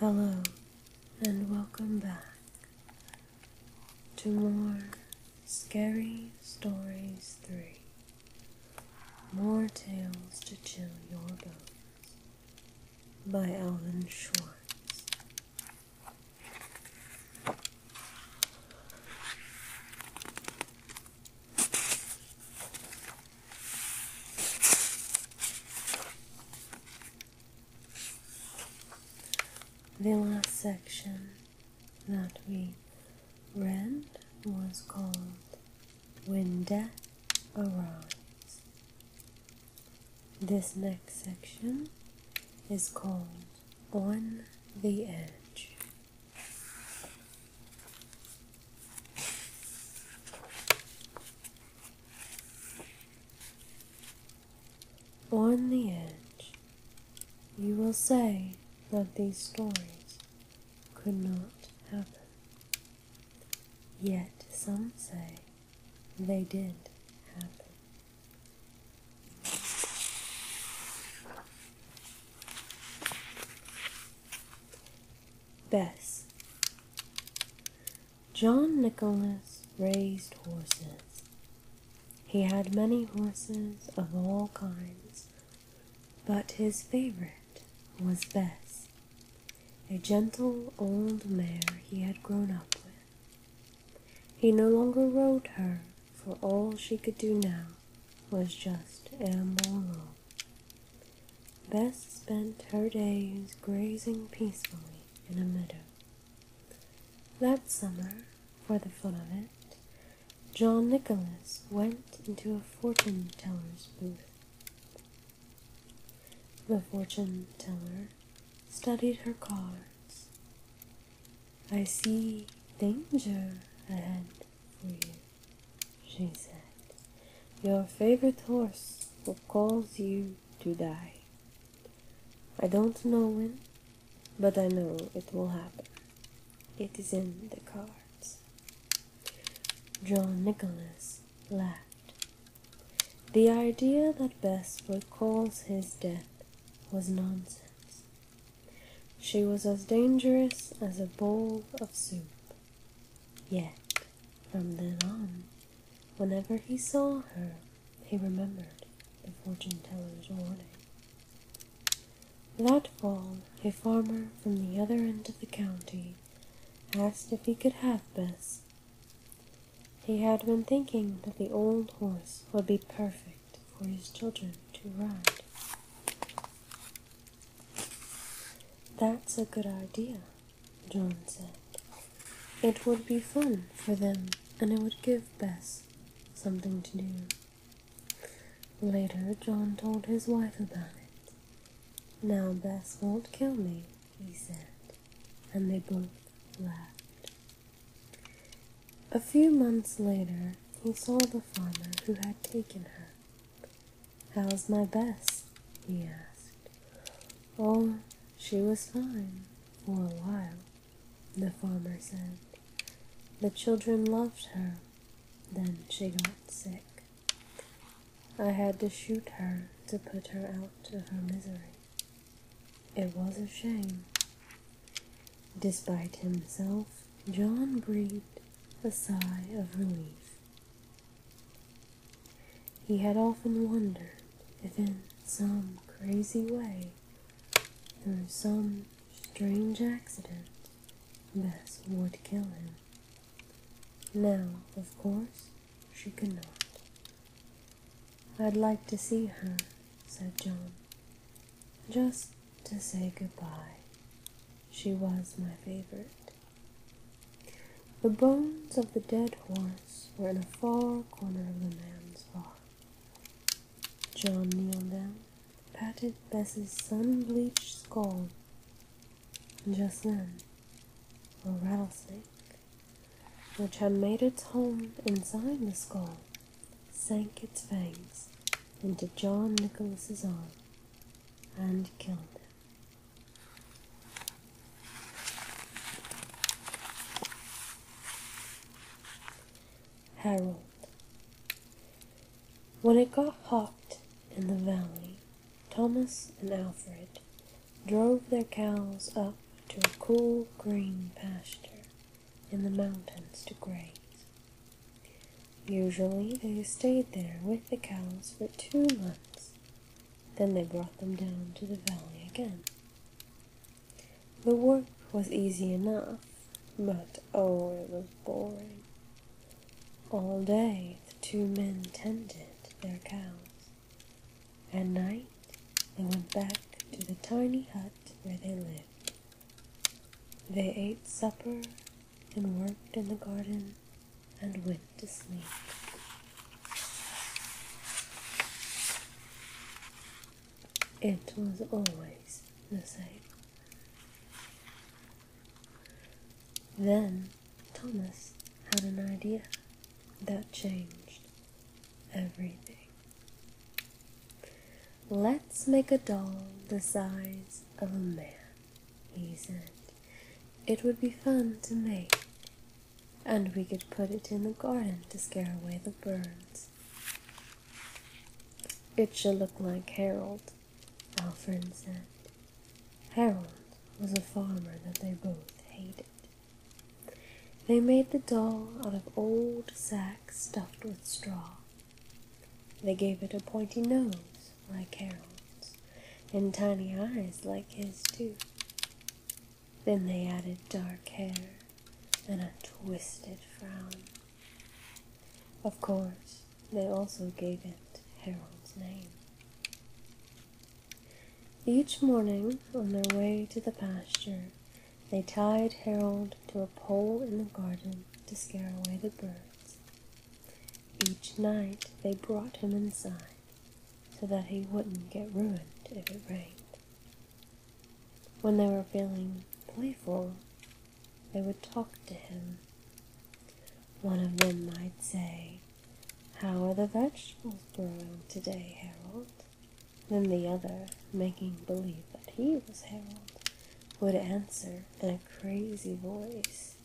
Hello and welcome back to more Scary Stories 3. More Tales to Chill Your Bones by Alvin Schwartz. The last section that we read was called when death arrives. This next section is called On the Edge. On the edge, you will say that these stories could not happen. Yet some say they did happen. Bess John Nicholas raised horses. He had many horses of all kinds but his favorite was Bess, a gentle old mare he had grown up with. He no longer rode her, for all she could do now was just amble Bess spent her days grazing peacefully in a meadow. That summer, for the fun of it, John Nicholas went into a fortune teller's booth the fortune teller studied her cards. I see danger ahead she said. Your favorite horse will cause you to die. I don't know when, but I know it will happen. It is in the cards. John Nicholas laughed. The idea that Bess would his death was nonsense. She was as dangerous as a bowl of soup. Yet, from then on, whenever he saw her, he remembered the fortune teller's warning. That fall, a farmer from the other end of the county asked if he could have Bess. He had been thinking that the old horse would be perfect for his children to ride. That's a good idea, John said. It would be fun for them, and it would give Bess something to do. Later, John told his wife about it. Now Bess won't kill me, he said, and they both laughed. A few months later, he saw the farmer who had taken her. How's my Bess? he asked. Oh, she was fine for a while, the farmer said. The children loved her. Then she got sick. I had to shoot her to put her out of her misery. It was a shame. Despite himself, John breathed a sigh of relief. He had often wondered if, in some crazy way, through some strange accident, this would kill him. Now, of course, she could not. I'd like to see her, said John, just to say goodbye. She was my favorite. The bones of the dead horse were in a far corner of the man's farm. John kneeled down, patted Bess's sun-bleached skull, and just then, a rattlesnake, which had made its home inside the skull, sank its fangs into John Nicholas's arm and killed him. Harold. When it got hot in the valley, Thomas and Alfred drove their cows up to a cool green pasture in the mountains to graze. Usually they stayed there with the cows for two months, then they brought them down to the valley again. The work was easy enough, but oh, it was boring. All day the two men tended their cows. At night they went back to the tiny hut where they lived. They ate supper and worked in the garden and went to sleep. It was always the same. Then Thomas had an idea that changed everything. Let's make a doll the size of a man, he said. It would be fun to make, and we could put it in the garden to scare away the birds. It should look like Harold our friend said. Harold was a farmer that they both hated. They made the doll out of old sacks stuffed with straw. They gave it a pointy nose like Harold's, and tiny eyes like his, too. Then they added dark hair and a twisted frown. Of course, they also gave it Harold's name. Each morning, on their way to the pasture, they tied Harold to a pole in the garden to scare away the birds. Each night they brought him inside so that he wouldn't get ruined if it rained. When they were feeling playful, they would talk to him. One of them might say, How are the vegetables growing today, Harold? Then the other, making believe that he was Harold, would answer in a crazy voice,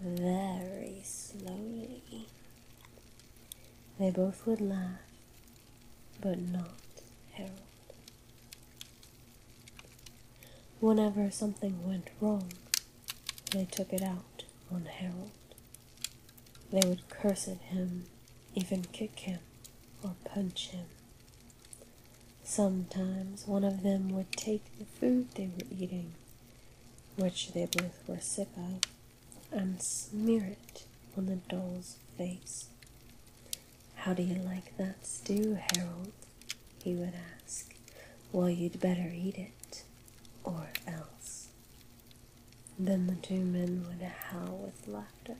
very slowly. They both would laugh, but not Harold. Whenever something went wrong, they took it out on Harold. They would curse at him, even kick him or punch him. Sometimes one of them would take the food they were eating, which they both were sick of, and smear it on the doll's face. How do you like that stew, Harold? he would ask. Well, you'd better eat it, or else. Then the two men would howl with laughter.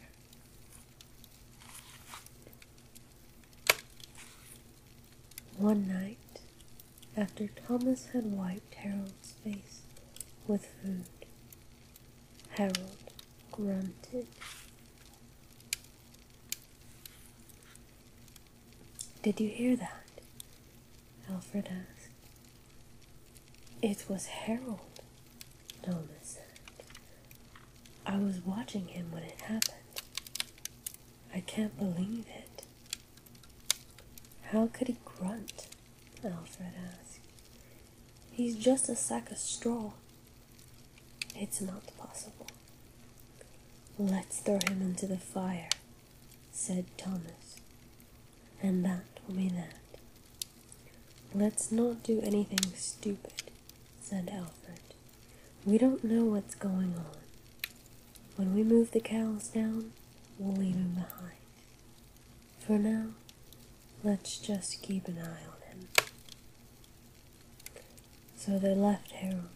One night, after Thomas had wiped Harold's face with food, Harold grunted. Did you hear that? Alfred asked. It was Harold, Noma said. I was watching him when it happened. I can't believe it. How could he grunt? Alfred asked. He's just a sack of straw. It's not possible. Let's throw him into the fire, said Thomas, and that will be that. Let's not do anything stupid, said Alfred. We don't know what's going on. When we move the cows down, we'll leave him behind. For now, let's just keep an eye on him. So they left Harold,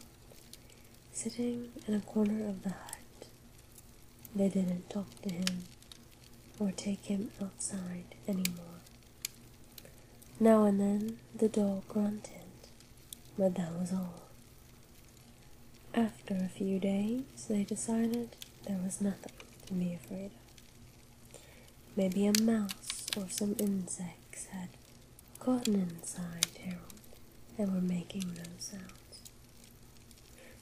sitting in a corner of the hut. They didn't talk to him or take him outside any more. Now and then the dog grunted, but that was all. After a few days, they decided there was nothing to be afraid of. Maybe a mouse or some insects had gotten inside Harold and were making no sounds.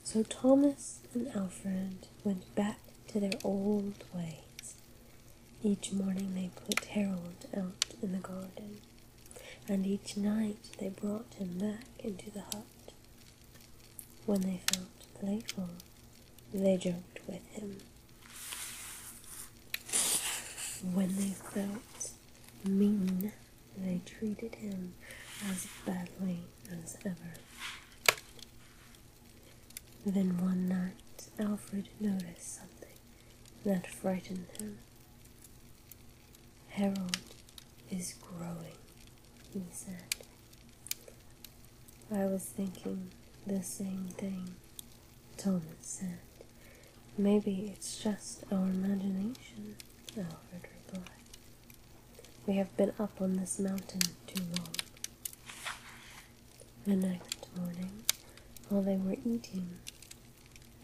So Thomas and Alfred went back to their old ways. Each morning they put Harold out in the garden, and each night they brought him back into the hut. When they felt playful, they joked with him. When they felt mean, they treated him as badly as ever. Then one night, Alfred noticed something that frightened him. Harold is growing, he said. I was thinking the same thing Thomas said. Maybe it's just our imagination, Alfred replied. We have been up on this mountain too long. The next morning, while they were eating,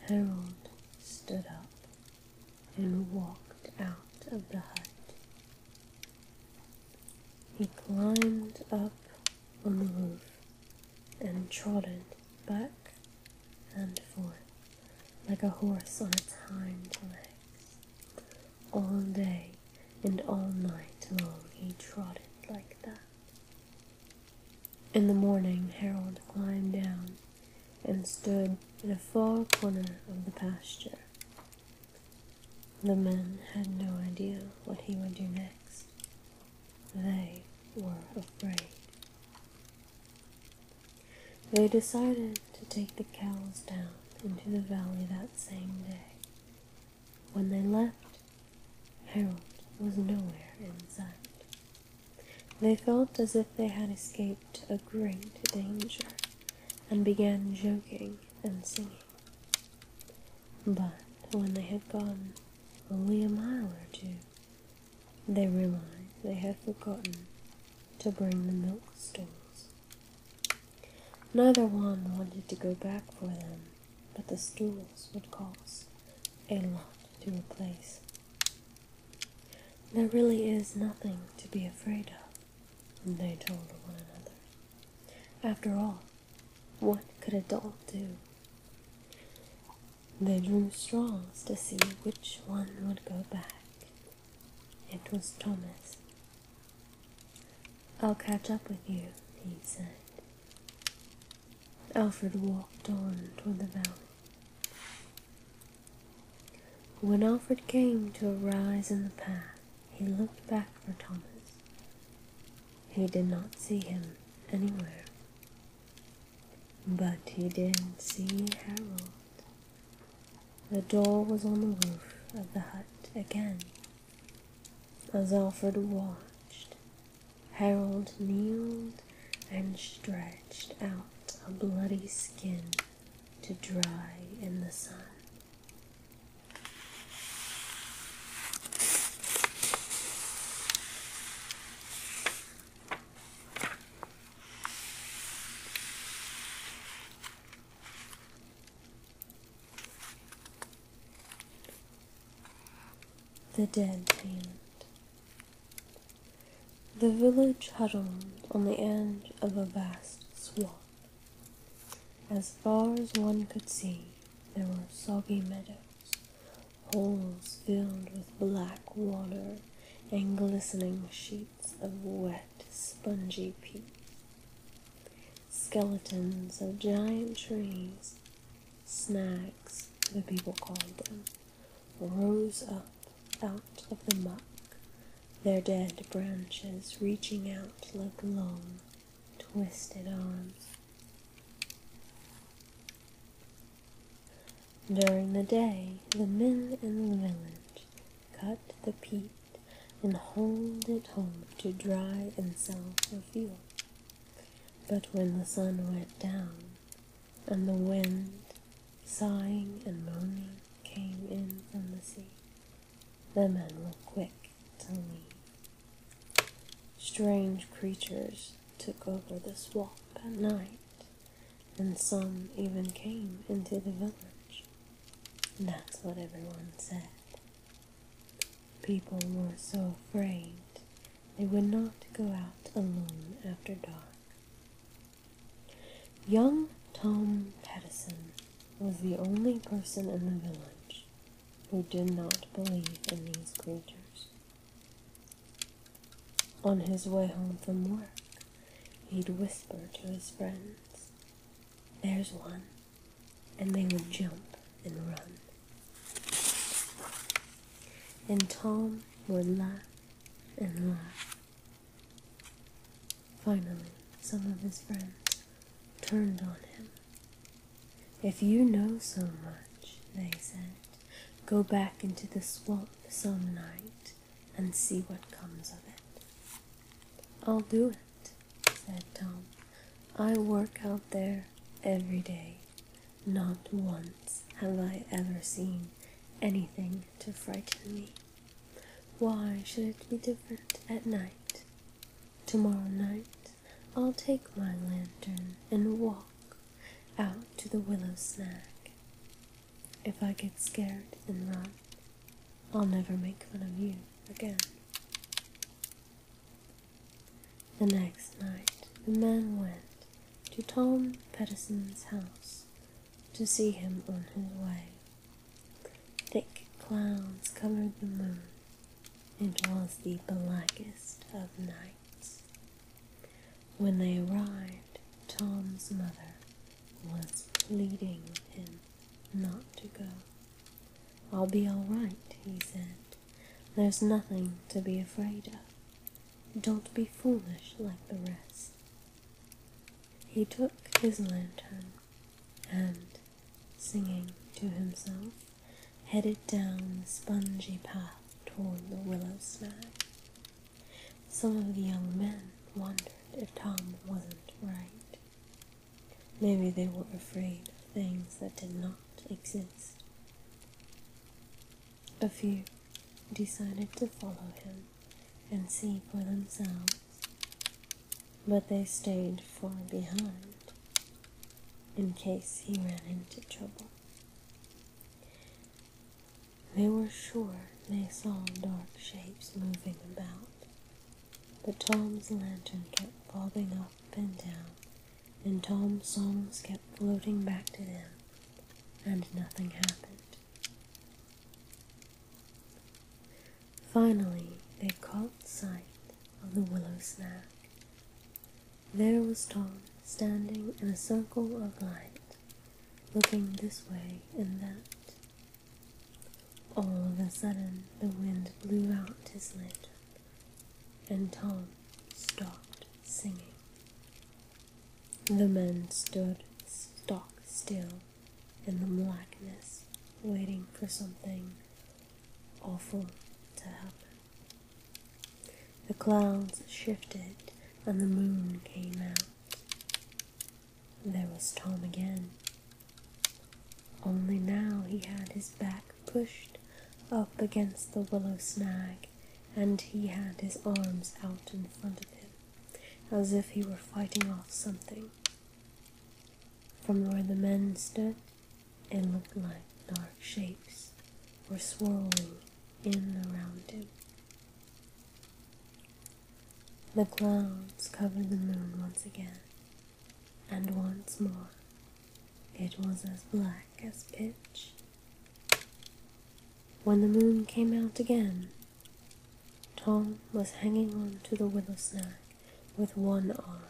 Harold stood up and walked out of the hut. He climbed up on the roof and trotted back and forth like a horse on its hind legs. All day and all night long he trotted like that. In the morning, Harold climbed down and stood in a far corner of the pasture. The men had no idea what he would do next, they were afraid. They decided to take the cows down into the valley that same day. When they left, Harold was nowhere in sight. They felt as if they had escaped a great danger and began joking and singing. But when they had gone only a mile or two, they realized they had forgotten to bring the milk stools. Neither one wanted to go back for them, but the stools would cost a lot to replace. There really is nothing to be afraid of, they told one another. After all, what could a dog do? They drew straws to see which one would go back. It was Thomas. I'll catch up with you, he said. Alfred walked on toward the valley. When Alfred came to a rise in the path, he looked back for Thomas. He did not see him anywhere. But he didn't see Harold. The door was on the roof of the hut again. As Alfred watched, Harold kneeled and stretched out a bloody skin to dry in the sun. The dead payment. The village huddled on the edge of a vast swamp. As far as one could see, there were soggy meadows holes filled with black water and glistening sheets of wet, spongy peat. Skeletons of giant trees, snags, the people called them, rose up out of the muck, their dead branches reaching out like long, twisted arms. During the day, the men in the village cut the peat and hauled it home to dry and sell for fuel. But when the sun went down and the wind, sighing and moaning, came in from the sea, the men were quick to leave. Strange creatures took over the swamp at night, and some even came into the village. That's what everyone said. People were so afraid they would not go out alone after dark. Young Tom Pattison was the only person in the village who did not believe in these creatures. On his way home from work, he'd whisper to his friends, There's one, and they would jump and run. And Tom would laugh and laugh. Finally, some of his friends turned on him if you know so much, they said, go back into the swamp some night and see what comes of it. I'll do it, said Tom. I work out there every day. Not once have I ever seen anything to frighten me. Why should it be different at night? Tomorrow night I'll take my lantern and walk out to the willow snag. If I get scared and run, I'll never make fun of you again. The next night the man went to Tom Pettison's house to see him on his way. Thick clouds covered the moon. It was the blackest of nights. When they arrived, Tom's mother was pleading him not to go. I'll be all right, he said. There's nothing to be afraid of. Don't be foolish like the rest. He took his lantern and, singing to himself, headed down the spongy path toward the willow snag. Some of the young men wondered if Tom wasn't right. Maybe they were afraid of things that did not exist. A few decided to follow him and see for themselves, but they stayed far behind in case he ran into trouble. They were sure they saw dark shapes moving about, but Tom's lantern kept bobbing up and down, and Tom's songs kept floating back to them, and nothing happened. Finally, they caught sight of the willow snag there was Tom standing in a circle of light, looking this way and that. All of a sudden, the wind blew out his light, and Tom stopped singing. The men stood stock still in the blackness, waiting for something awful to happen. The clouds shifted and the moon came out. There was Tom again. Only now he had his back pushed up against the willow snag and he had his arms out in front of him as if he were fighting off something. From where the men stood, and looked like dark shapes were swirling in and around him. The clouds covered the moon once again, and once more it was as black as pitch. When the moon came out again, Tom was hanging on to the willow snag with one arm,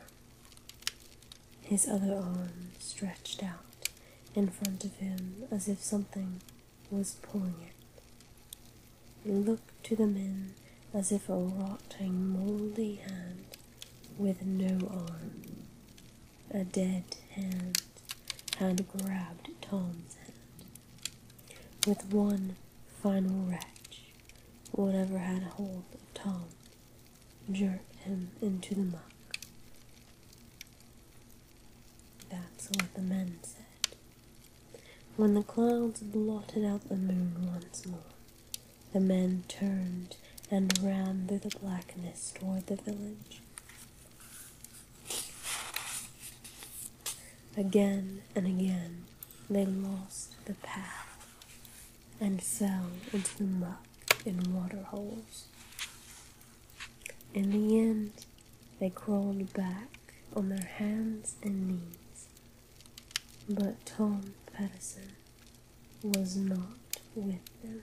his other arm stretched out in front of him as if something was pulling it. He looked to the men as if a rotting, mouldy hand with no arm, a dead hand, had grabbed Tom's hand. With one final wrench, whatever had hold of Tom Jerked him into the muck. That's what the men said. When the clouds blotted out the moon once more, the men turned and ran through the blackness toward the village. Again and again they lost the path and fell into the muck in water holes. In the end, they crawled back on their hands and knees. But Tom Patterson was not with them.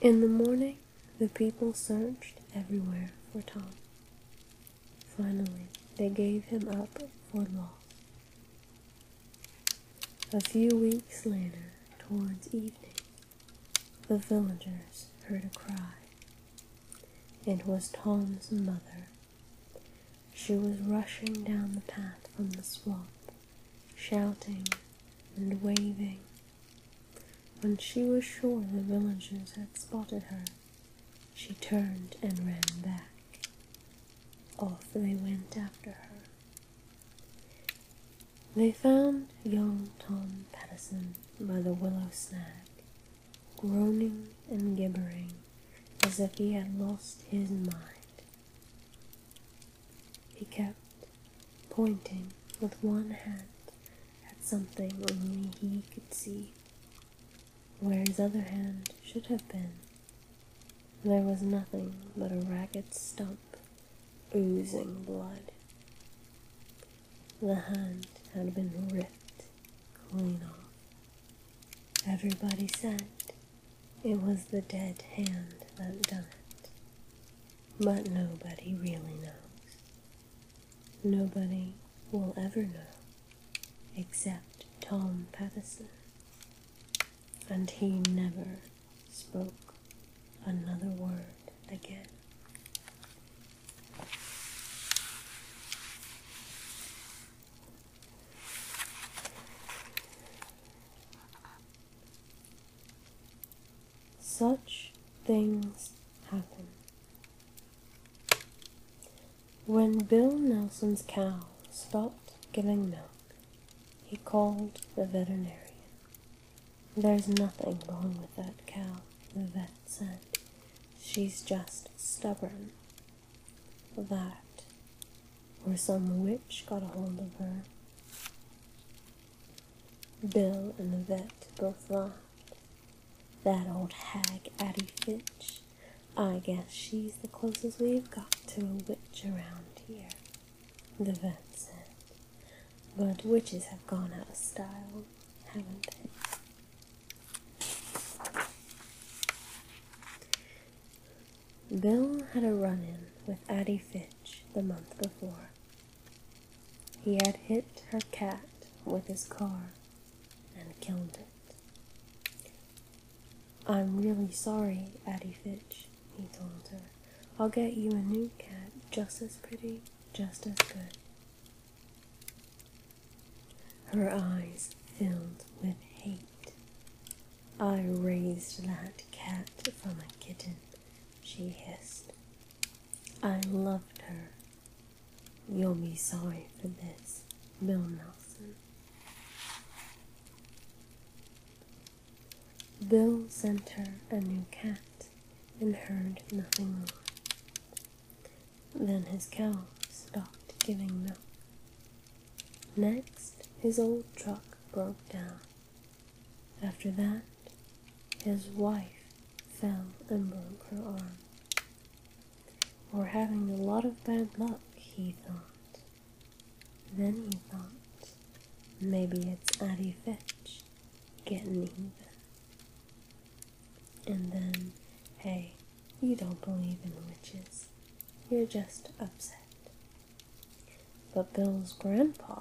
In the morning, the people searched everywhere for Tom. Finally, they gave him up for lost. A few weeks later, towards evening, the villagers heard a cry. It was Tom's mother. She was rushing down the path from the swamp, shouting and waving. When she was sure the villagers had spotted her, she turned and ran back off they went after her. They found young Tom Patterson by the willow snag, groaning and gibbering as if he had lost his mind. He kept pointing with one hand at something only he could see, where his other hand should have been there was nothing but a ragged stump oozing blood. The hand had been ripped clean off. Everybody said it was the dead hand that done it. But nobody really knows. Nobody will ever know except Tom Pattison and he never spoke another word again. Such things happen. When Bill Nelson's cow stopped giving milk, he called the veterinarian. There's nothing wrong with that cow, the vet said. She's just stubborn. That, or some witch got a hold of her. Bill and the vet both laughed. That old hag Addie Fitch, I guess she's the closest we've got to a witch around here, the vet said. But witches have gone out of style, haven't they? Bill had a run in with Addie Fitch the month before. He had hit her cat with his car and killed it. I'm really sorry, Addie Fitch, he told her. I'll get you a new cat just as pretty, just as good. Her eyes filled with hate. I raised that cat from a kitten, she hissed. I loved her. You'll be sorry for this, Bill Nelson. Bill sent her a new cat and heard nothing more. Then his cow stopped giving milk. Next, his old truck broke down. After that, his wife fell and broke her arm. We're having a lot of bad luck, he thought. Then he thought, maybe it's Addie Fitch getting even. And then, hey, you don't believe in witches. You're just upset. But Bill's grandpa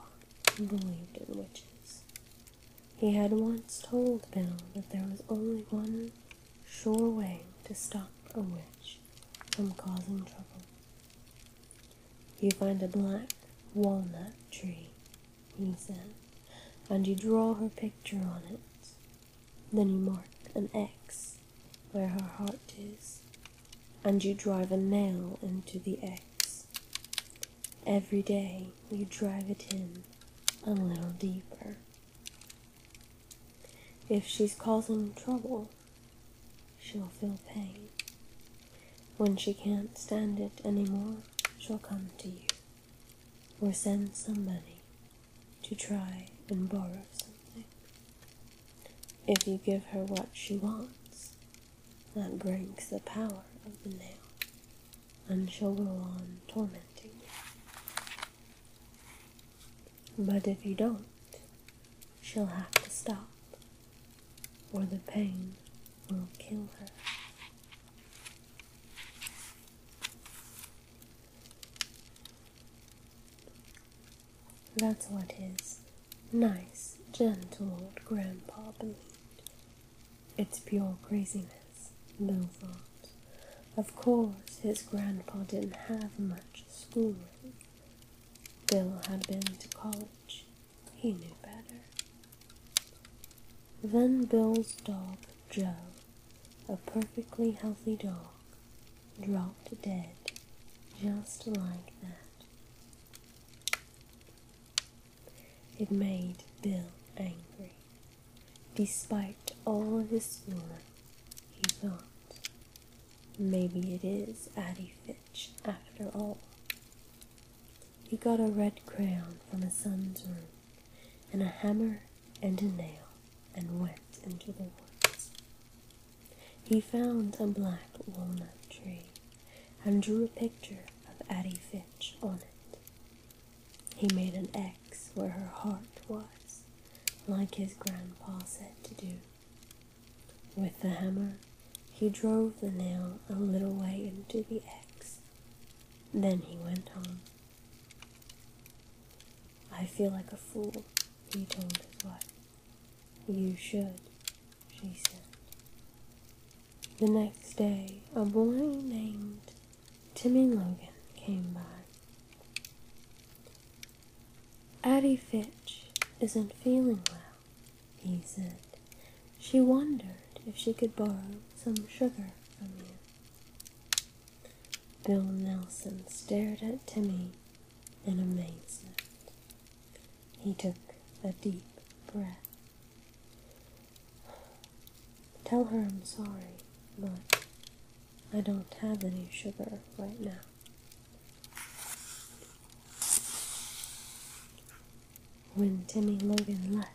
believed in witches. He had once told Bill that there was only one sure way to stop a witch from causing trouble. You find a black walnut tree, he said, and you draw her picture on it. Then you mark an X where her heart is, and you drive a nail into the X. Every day you drive it in a little deeper. If she's causing trouble, she'll feel pain. When she can't stand it any more, she'll come to you or send somebody to try and borrow something. If you give her what she wants, that breaks the power of the nail, and she'll go on tormenting you. But if you don't, she'll have to stop, or the pain will kill her. That's what his nice, gentle old grandpa believed. It's pure craziness, no thought. Of course, his grandpa didn't have much schooling. Bill had been to college. He knew better. Then Bill's dog, Joe, a perfectly healthy dog, dropped dead just like that. It made Bill angry. Despite all his schooling, he thought Maybe it is Addie Fitch after all. He got a red crayon from his son's room, and a hammer and a nail, and went into the woods. He found a black walnut tree and drew a picture of Addie Fitch on it. He made an X where her heart was like his grandpa said to do. With the hammer, he drove the nail a little way into the axe. Then he went on. I feel like a fool, he told his wife. You should, she said. The next day, a boy named Timmy Logan came by. Addie Fitch isn't feeling well, he said. She wondered if she could borrow some sugar from you. Bill Nelson stared at Timmy in amazement. He took a deep breath. Tell her I'm sorry, but I don't have any sugar right now. When Timmy Logan left,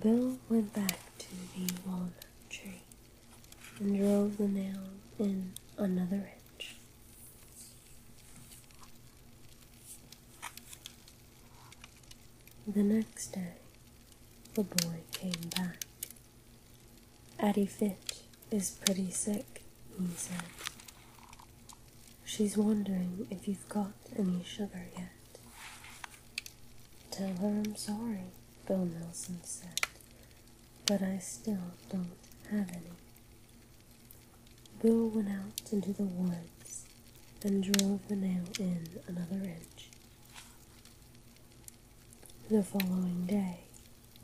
Bill went back to the walnut tree and drove the nail in another inch. The next day, the boy came back Addie Fitch is pretty sick, he said. She's wondering if you've got any sugar yet. Tell her I'm sorry, Bill Nelson said, but I still don't have any. Bill went out into the woods and drove the nail in another inch. The following day,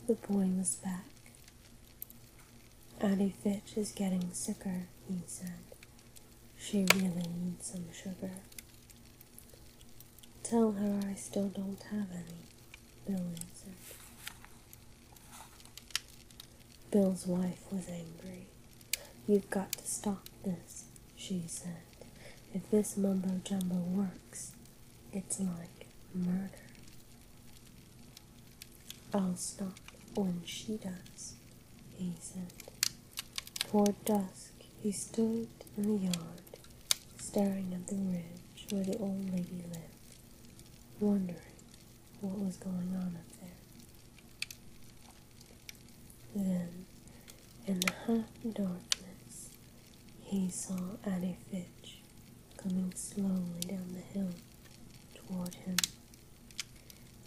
the boy was back. Addie Fitch is getting sicker, he said. She really needs some sugar. Tell her I still don't have any, Bill answered. Bill's wife was angry. You've got to stop this, she said. If this mumbo jumbo works, it's like murder. I'll stop when she does, he said. Toward dusk, he stood in the yard, staring at the ridge where the old lady lived, wondering what was going on up there. Then, in the half darkness, he saw Annie Fitch coming slowly down the hill toward him.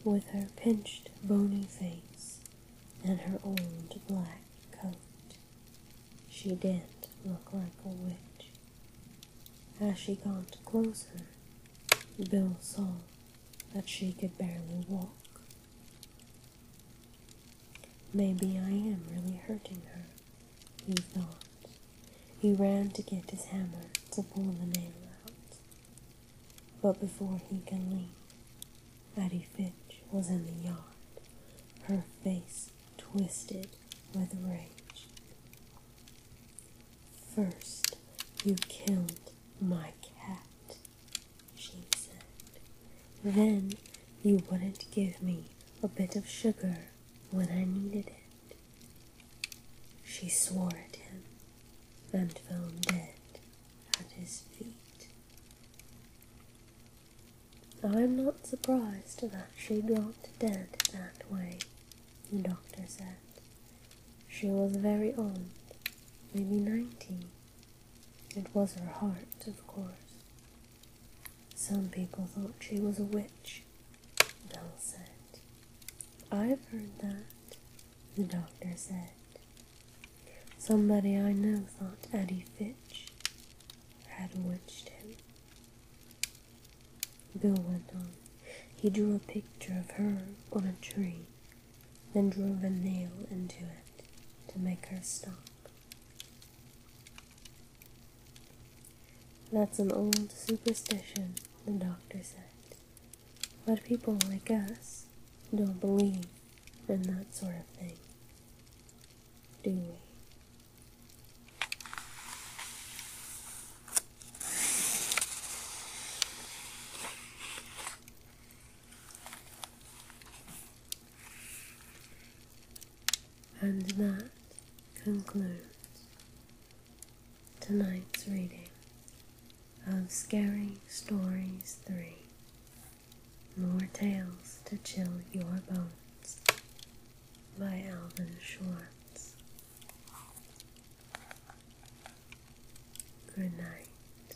With her pinched, bony face and her old black coat, she did not look like a witch. As she got closer, Bill saw that she could barely walk. Maybe I am really hurting her, he thought. He ran to get his hammer to pull the nail out. But before he could leave, Addie Fitch was in the yard, her face twisted with rage. First, you killed my cat, she said. Then you wouldn't give me a bit of sugar when I needed it. She swore at him and fell dead at his feet. I'm not surprised that she dropped dead that way, the doctor said. She was very old, maybe ninety it was her heart, of course. Some people thought she was a witch, Bell said. I've heard that, the doctor said. Somebody I know thought Addie Fitch had witched him. Bill went on. He drew a picture of her on a tree, then drove a nail into it to make her stop. That's an old superstition, the doctor said. But people like us don't believe in that sort of thing, do we? And that concludes tonight's reading of Scary Stories 3 More Tales to Chill Your Bones by Alvin Schwartz. Good night.